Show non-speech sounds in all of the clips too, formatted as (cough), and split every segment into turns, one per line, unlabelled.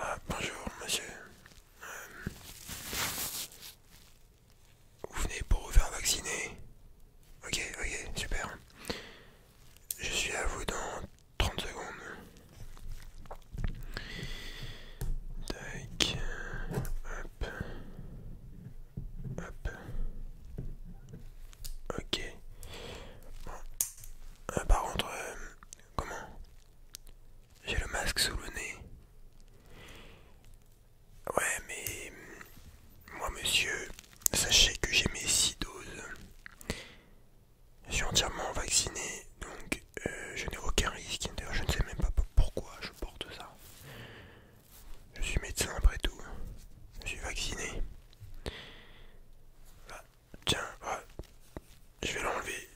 Ah, bonjour monsieur. Euh, vous venez pour vous faire vacciner Ok, ok, super. Je suis à vous dans 30 secondes. Hop. Hop. Ok. Euh, par contre, euh, comment J'ai le masque sous le nez. Ouais, mais mm, moi, monsieur, sachez que j'ai mes 6 doses. Je suis entièrement vacciné, donc euh, je n'ai aucun risque. je ne sais même pas pourquoi je porte ça. Je suis médecin après tout. Je suis vacciné. Bah, tiens, bah, je vais l'enlever.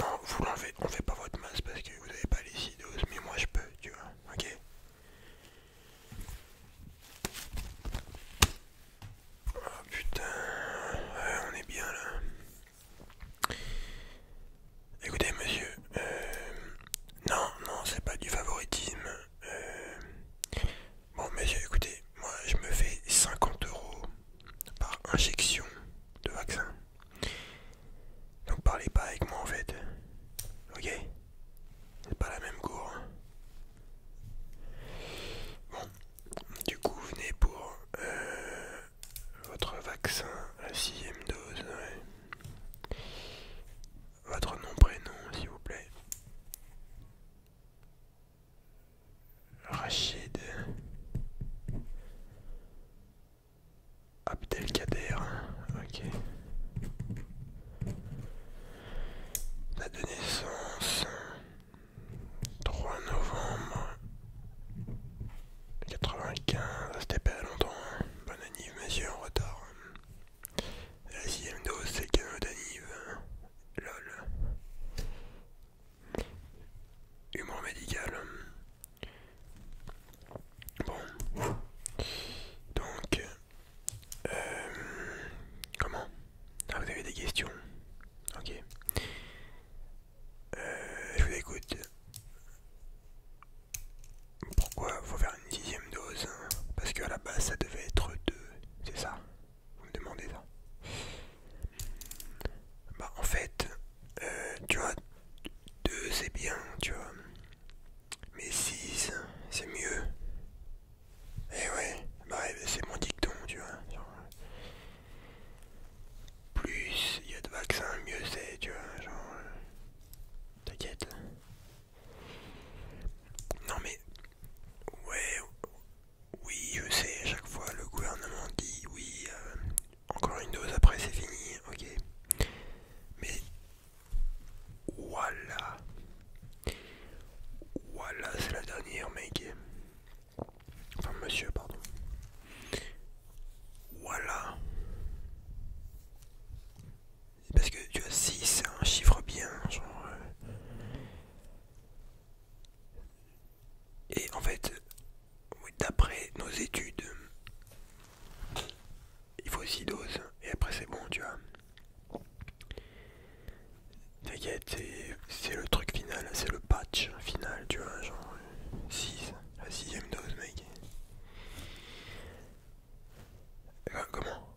Non, vous l'enlevez. On fait pas votre masse parce que vous n'avez pas les doses, mais moi je peux, tu vois. Ok. Oh putain, on est bien là. Écoutez monsieur, euh, non, non, c'est pas du favoritisme. Euh, bon monsieur, écoutez, moi je me fais 50 euros par injection de vaccin. Donc parlez pas avec moi en fait. Ok C'est pas la même cour. Hein. Bon, du coup venez pour euh, votre vaccin, la sixième dose, votre nom, prénom, s'il vous plaît. Rachid Abdelkader, ok. de naissance, 3 novembre 95, c'était pas longtemps. Hein. Bonne anniv, monsieur, en retard. La sixième dose, c'est le cadeau hein. Lol. Humour médical. Bon. Donc. Euh, comment Ah, vous avez des questions Ok. Euh, je vous écoute. Pourquoi faut faire une dixième dose hein Parce qu'à la base ça devait être deux, c'est ça Vous me demandez ça Bah en fait, euh, tu vois, deux c'est bien, tu vois. Mais six, c'est mieux. Eh ouais, bah c'est mon dicton, tu vois. Plus il y a de vaccins, mieux c'est, tu vois, genre... T'inquiète. Non mais... Ouais... Oui, je sais, à chaque fois le gouvernement dit oui, euh, encore une dose après c'est fini, ok. Mais... Voilà. Voilà, c'est la dernière, mec. Enfin, monsieur, pardon. Voilà. Parce que tu as 6 c'est un chiffre bien, genre. Euh. Et en fait, d'après nos études, il faut 6 doses, et après c'est bon, tu vois c'est le truc final, c'est le patch final, tu vois, genre 6, euh, la sixième dose, mec. Euh, comment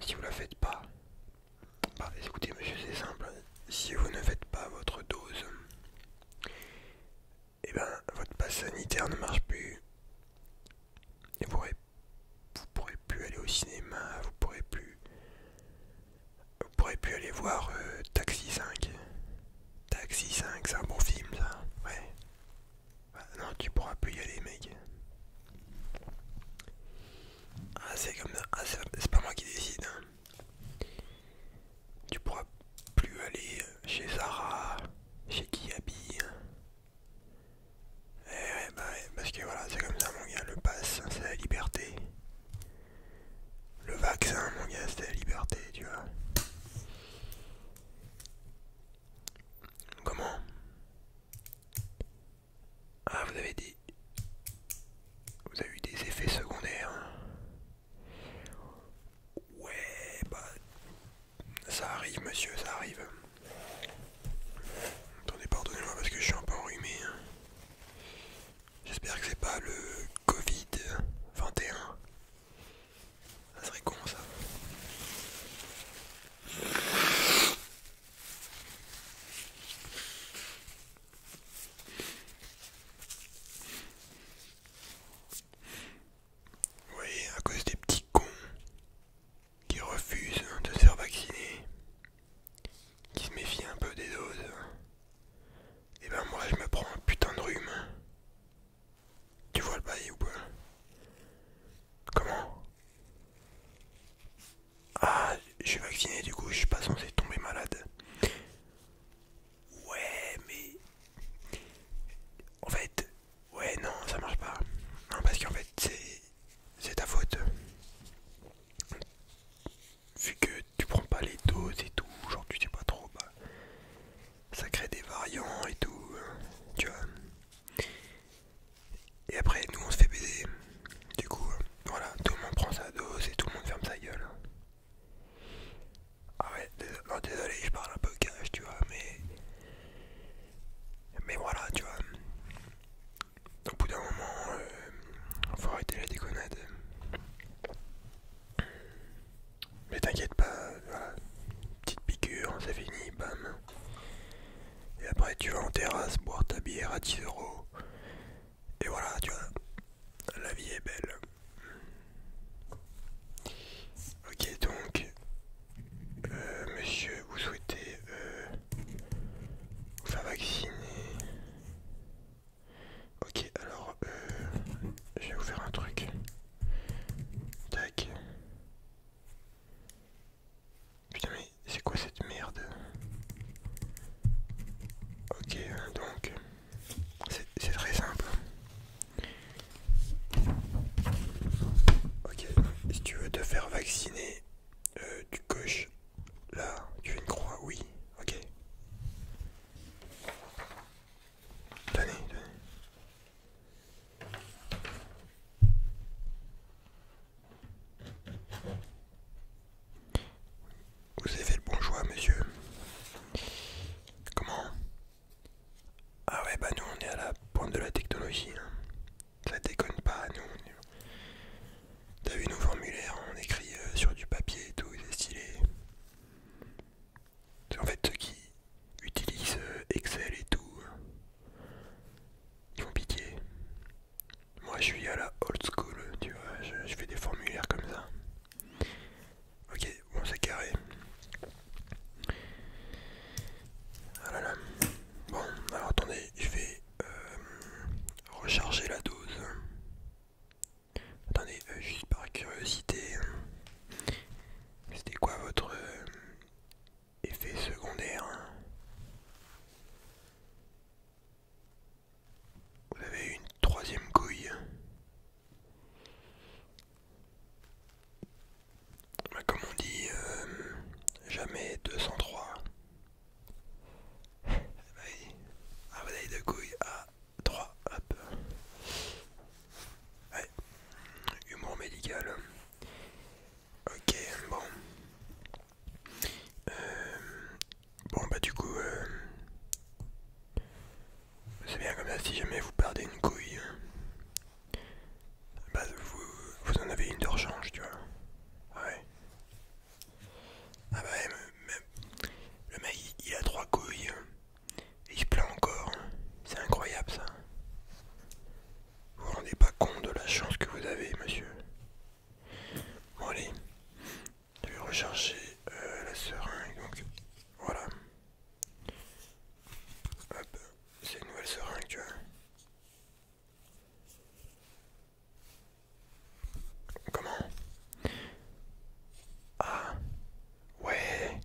Si vous la faites pas, bah écoutez monsieur, c'est simple, si vous ne faites pas votre dose, et eh ben votre passe sanitaire ne marche plus. Et vous, vous pourrez plus aller au cinéma, vous pourrez plus on pourrez plus aller voir euh, Taxi 5. Taxi 5, c'est un bon film ça. Ouais. Bah, non, tu pourras plus y aller, mec. Ah, c'est comme ça. Ah, c'est pas moi qui décide. Hein. Tu pourras plus aller euh, chez Sarah, chez Kiabi. Hein. Eh ouais, bah ouais, parce que voilà, c'est comme ça, mon gars, le pass, hein, c'est la liberté. Le vaccin, mon gars, c'était la liberté, tu vois. Comment Ah, vous avez dit. Vous avez eu des effets secondaires. Ouais, bah. Ça arrive, monsieur, ça arrive. Attendez, pardonnez-moi parce que je suis un peu enrhumé. Hein. J'espère que c'est pas le Covid-21. Ça serait con ça. voyez, à cause des petits cons qui refusent de se faire vacciner qui se méfie un peu des doses, et eh ben moi je me prends un putain de rhume. Tu vois le bail ou pas Comment Ah, je suis vacciné du coup, je suis pas censé tomber malade. Ouais, mais. En fait, ouais, non, ça marche pas. Non, parce qu'en fait, c'est ta faute vu que tu prends pas les doses et tout, genre tu sais pas trop, bah, ça crée des variants et tout, hein, tu vois. Et après, nous on se fait baiser. Du coup, voilà, tout le monde prend sa dose et tout le monde ferme sa gueule. Hein. Ah ouais, non, désolé, je parle un peu cash, tu vois, mais. Mais voilà, tu vois au bout d'un moment, il euh, faut arrêter la déconnade. Mais t'inquiète pas, voilà, petite piqûre, c'est fini, bam. Et après, tu vas en terrasse boire ta bière à 10 euros. Et voilà, tu vois, la vie est belle. Ok, donc, euh, monsieur, vous souhaitez euh, vous faire vacciner Ok, alors, euh, je vais vous faire un truc. Tac. Putain, mais c'est quoi cette merde Ok, hein, donc, c'est très simple. Ok, si tu veux te faire vacciner, euh, tu coches Là, tu as une croix, oui, ok. Tenez, donnez. Vous avez fait le bon choix, monsieur. Comment Ah ouais, bah nous on est à la pointe de la technologie. Hein ça déconne pas, nous. T'as vu nos formulaires, on écrit euh, sur du papier et tout, c'est stylé. En fait, ceux qui utilisent euh, Excel et tout, hein. ils font pitié. Moi, je suis à la old school, tu vois, je, fais des formulaires comme ça. Ok, bon, c'est carré. Ah bon, alors attendez, je vais euh, recharger la dose. Attendez, euh, juste par curiosité, c'était quoi votre euh, effet secondaire Vous avez une troisième couille. Bah, comme on dit, euh, jamais 203. Ah de couilles à 3, hop. Ouais, humour médical. Ok, bon. Euh, bon, bah, du coup, euh, c'est bien comme ça. Si jamais vous perdez une couille, euh, bah, vous, vous en avez une de rechange, tu vois. Ouais, ah bah le mec il, a trois couilles hein. il se plaint encore. Hein. C'est incroyable ça. Vous vous rendez pas compte de la chance que vous avez, monsieur. Bon allez, je vais rechercher euh, la seringue. Donc voilà. c'est une nouvelle seringue, tu vois. Comment Ah ouais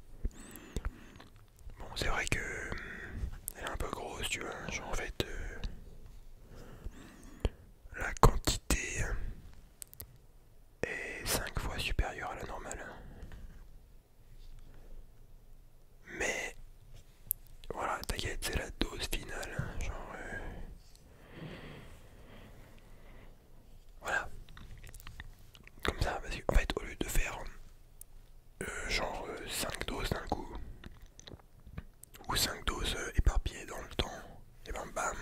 Bon c'est vrai que hmm, elle est un peu grosse tu vois genre en fait euh, la quantité est 5 fois supérieure à la normale mais voilà, t'inquiète, c'est la dose finale. Hein, genre, euh. Voilà. Comme ça, parce qu'en fait, au lieu de faire euh, genre 5 euh, doses d'un coup, ou 5 doses éparpillées dans le temps, et ben bam,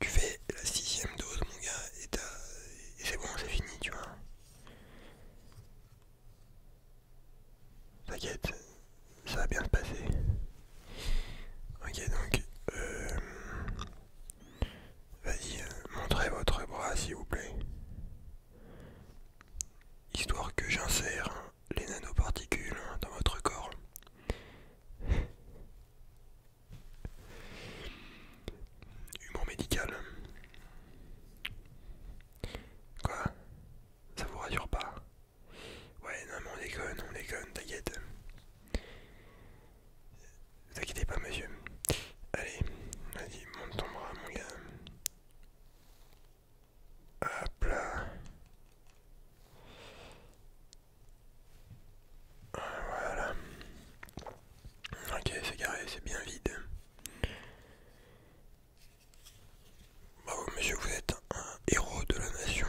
tu fais la sixième dose, mon gars, et, et c'est bon, c'est fini, tu vois. T'inquiète, ça va bien se passer. Ok donc, euh, vas-y, euh, montrez votre bras s'il vous plaît. Histoire que j'insère les nanoparticules dans votre corps. Humour médical. Quoi ça vous rassure pas Ouais, non, mais on déconne, on déconne, t'inquiète. Ne t'inquiétez pas, monsieur. Allez, vas-y, monte ton bras, mon gars. Hop là. Voilà. Ok, c'est carré, c'est bien vide. Bravo monsieur, vous êtes un héros de la nation.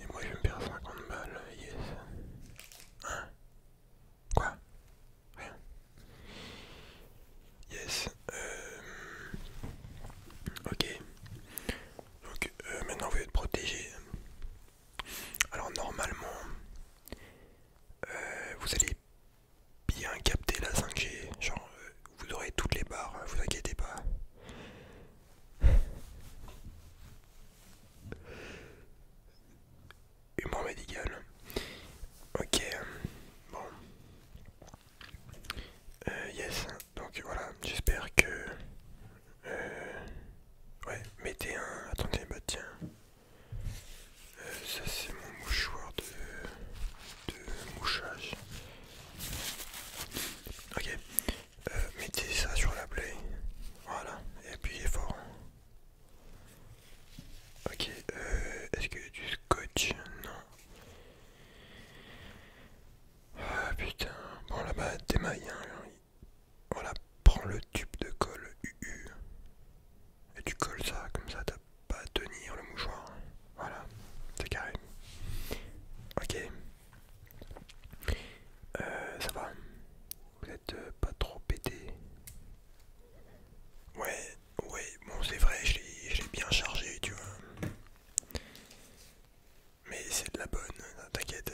Et moi je vais me perds 50 balles, yes. Hein Quoi Rien. Yes. Euh... Ok. Donc euh, maintenant vous êtes protégé. Alors normalement, euh, vous allez bien capté la 5G. Genre, euh, vous aurez toutes les barres, hein, vous inquiétez pas. Humour médical. Ok, bon. Euh, yes, donc voilà, j'espère que... Euh, ouais, mettez un... Attendez, bah tiens. Euh, ça c'est mon mouchoir de, de mouchage. Ok, euh, mettez ça sur la plaie. Voilà, et appuyez fort. Ok, euh, est-ce qu'il y a du scotch Non. Ah putain, bon là-bas, des Hein. Voilà, prends le tube de colle et tu colles ça, comme ça t'as pas à tenir le mouchoir. Voilà, c'est carré. Ok. Euh, ça va Vous êtes euh, pas trop pété Ouais, ouais, bon c'est vrai, je l'ai bien chargé, tu vois. Mais c'est de la bonne, t'inquiète.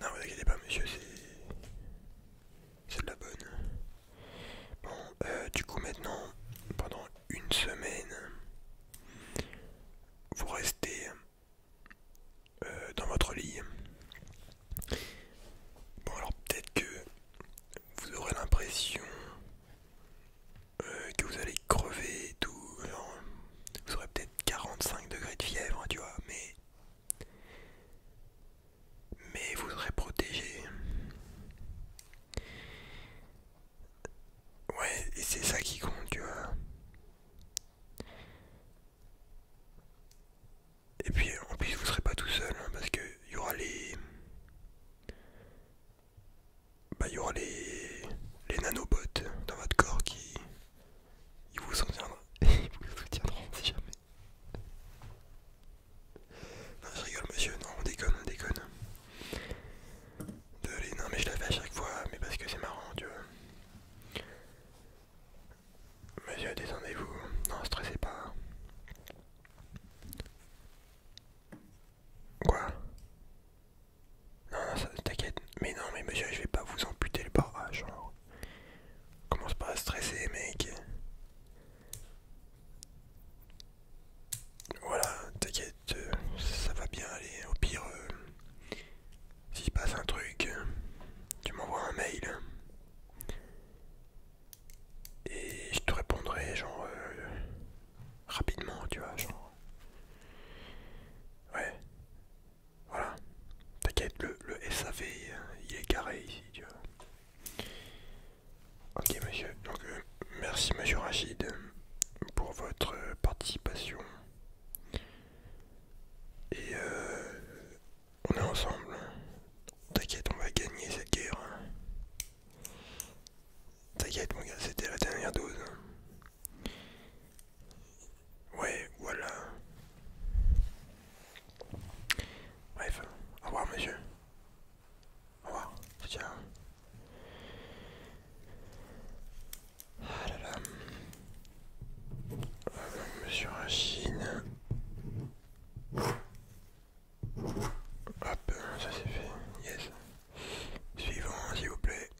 Non, vous inquiétez pas, monsieur, c'est. C'est de la bonne. Bon, euh, du coup, maintenant, pendant une semaine, vous restez euh, dans votre lit. Bon, alors peut-être que vous aurez l'impression euh, que vous allez crever et tout. vous aurez peut-être 45 degrés de fièvre, tu vois, mais mais vous serez protégé. Ouais, et c'est ça qui compte, tu vois. Et puis en plus vous serez pas tout seul hein, parce que y aura les bah il y aura les les nanobots dans votre corps qui ils vous soutiendront. (laughs) il vous soutiendront si jamais. Non, je rigole, monsieur. Non, on déconne, on déconne. Désolé, non, mais je la fais à chaque fois, mais parce que c'est marrant, tu vois. Monsieur, descendez-vous. Non, stressez pas. Quoi Non, non, ça, t'inquiète. Mais non, mais monsieur, je vais pas vous amputer le barrage. genre. Commence pas à stresser, mec. Voilà, t'inquiète, ça va bien aller. Au pire, euh, s'il passe un truc, tu m'envoies un mail. Et je te répondrai, genre, euh, rapidement, tu vois, Ouais. Voilà. T'inquiète, le, le SAV, euh, il est carré ici, tu vois. Ok monsieur, donc euh, merci monsieur Rachid pour votre euh, participation. Et on est ensemble. T'inquiète, on va gagner cette guerre. Hein. T'inquiète mon gars, c'était la dernière dose. Hein. Ouais, voilà. Bref, au revoir monsieur. Au revoir, tiens. Ah euh, monsieur Rachine. Hop, ça c'est fait. Yes. Suivant, s'il vous plaît.